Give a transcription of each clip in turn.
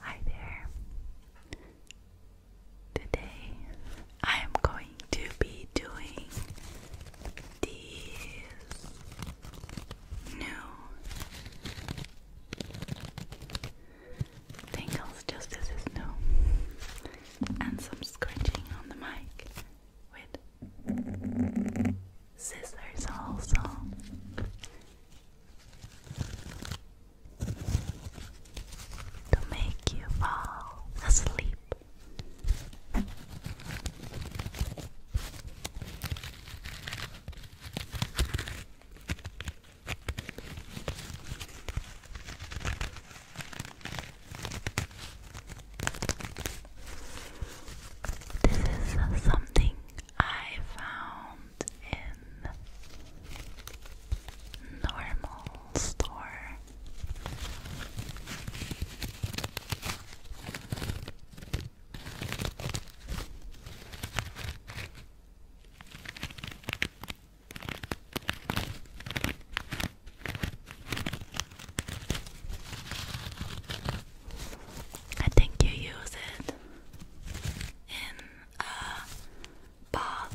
Hi there. Today I am going to be doing these new tingles, just this is and some scratching on the mic with scissors also to make you fall asleep. This is something I found in normal store. I think you use it in a bath.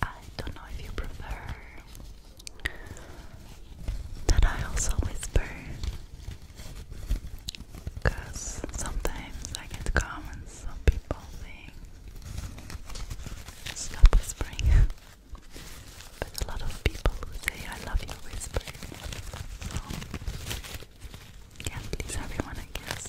I don't know if you prefer that I also whisper because sometimes I get comments of people saying stop whispering but a lot of people say I love you whisper so can't please everyone I guess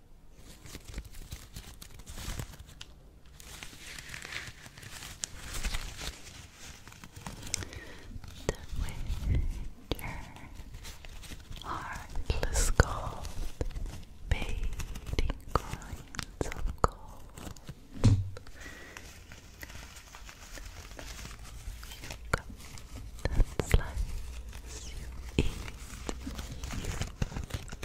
The heartless gold, fading coins of gold. You cut and slice, you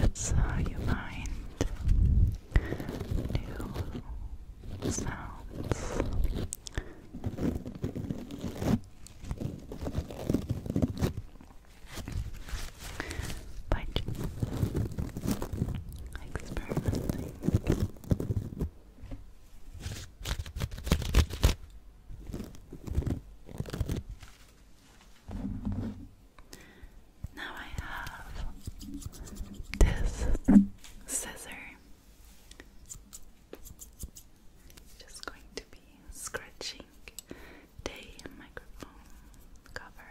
Let's uh, you mind new sounds. But experimenting. Now I have this scissor just going to be scratching the microphone cover.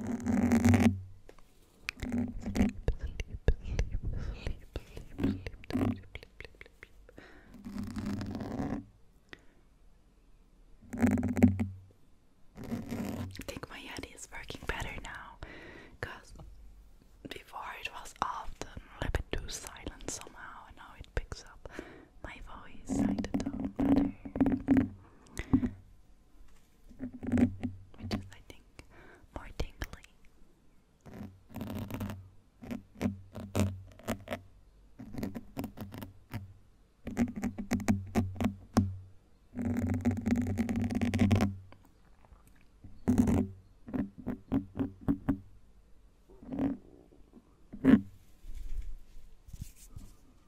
I think my head is working better now because before it was often a little bit too silent somehow, and now it picks up my voice, like the better which is, I think, more tingly.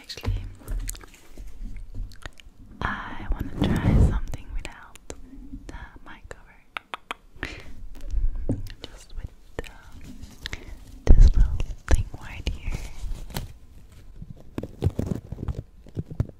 Actually, I want to try something without the mic cover. Just with this little thing right here.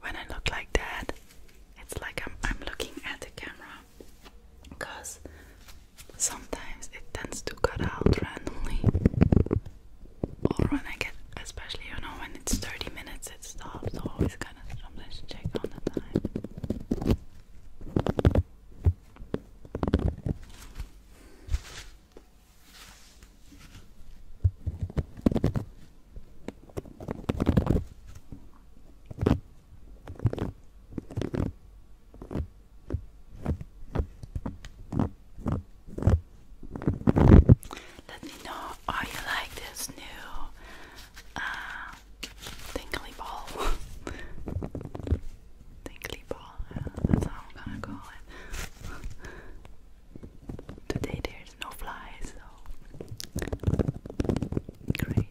When I look like that, it's like I'm I'm looking at the camera because sometimes it tends to cut out randomly or when I get especially you know when it's 30 minutes it stops always kind of sometimes check on the time let me know are you like this new uh, tingly ball. tingly ball, uh, that's how I'm gonna call it. Today there's no flies so great.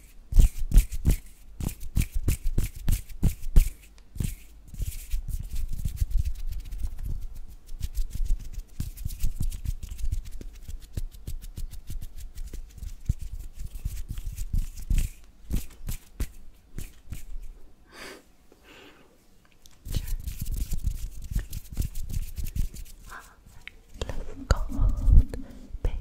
Let's go, baby.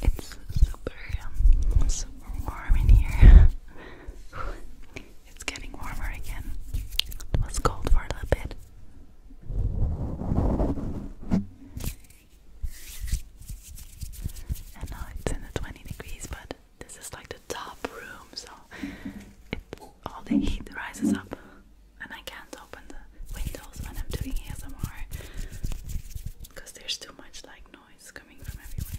It's super, um, super warm in here. it's getting warmer again. It was cold for a little bit. And now it's in the 20 degrees, but this is like the top room, so all the heat rises up, and I can't open the windows when I'm doing ASMR because there's too much like noise coming from everywhere.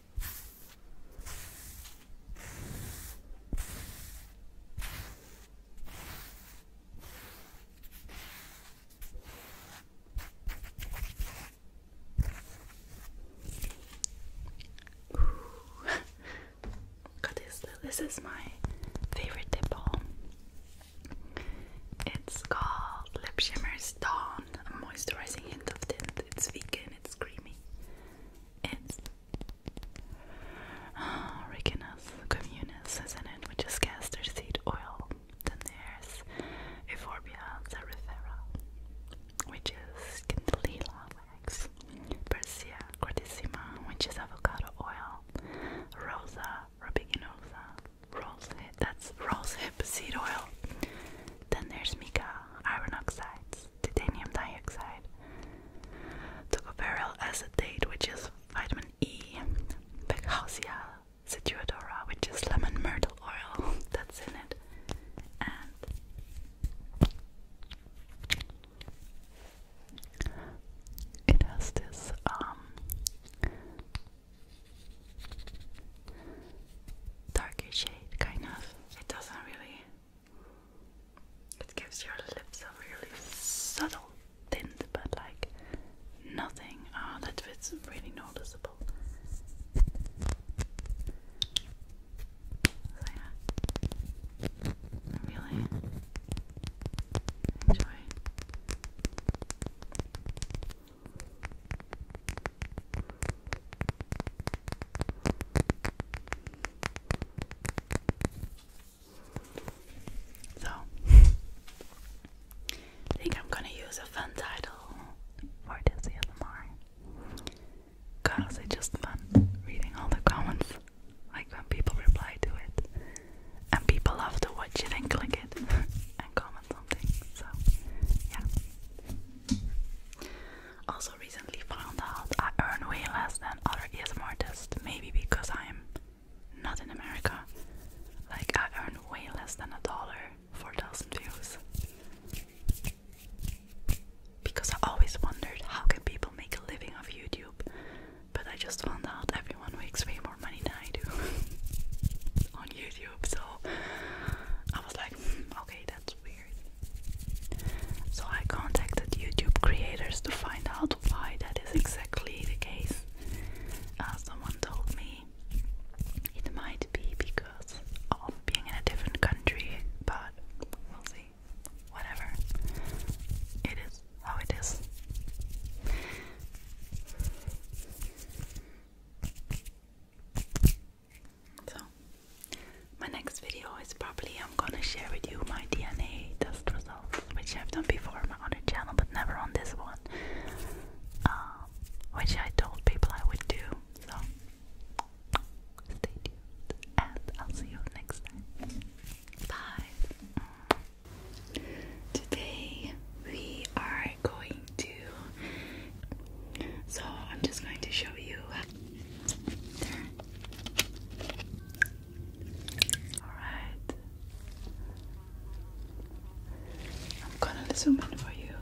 this. This is my favorite lip balm. It's called Lip Shimmers Dawn, a moisturizing hint of tint. It's vegan. It's creamy. It's oh, ah, Ricinus communis, is it? Which is castor seed oil. Then there's Euphorbia zarifera, which is candelilla wax. Persia cortissima, which is avocado oil. Rosa rubiginosa, rose that's rose hip seed oil. Then there's mica, iron oxides titanium dioxide, tocopherol acetate, which is vitamin E, Bacchausia situatora, which is lemon myrtle oil, that's in it, and it has this, um, shade, kind of. It doesn't really it gives your lips a really subtle tint, but like nothing. Oh, that fits really noticeable. So yeah, really enjoy so, I think I'm gonna use a fun title for this ASMR. Cause it's just fun reading all the comments, like when people reply to it. And people love to watch it and click it and comment on So, yeah. Also, recently found out I earn way less than other ASMR artists, maybe because I'm not in America. Like, I earn way less than a dollar for a thousand views. Because I always wondered how can people make a living off YouTube, but I just found out everyone makes way more money than I do on YouTube. So I was like, hmm, okay, that's weird. So I contacted YouTube creators to find out why that is exactly the case. Uh, someone told me it might be because of being in a different country, but we'll see. Whatever. It is how it is. So, my next video is probably I'm gonna share with you my DNA test results, which I've done before on my other channel, but never on this one. Um, which I told people I would do. So, and I'll see you next time. Bye. Today we are going to. So I'm just going to show you Alright. I'm gonna zoom in for you.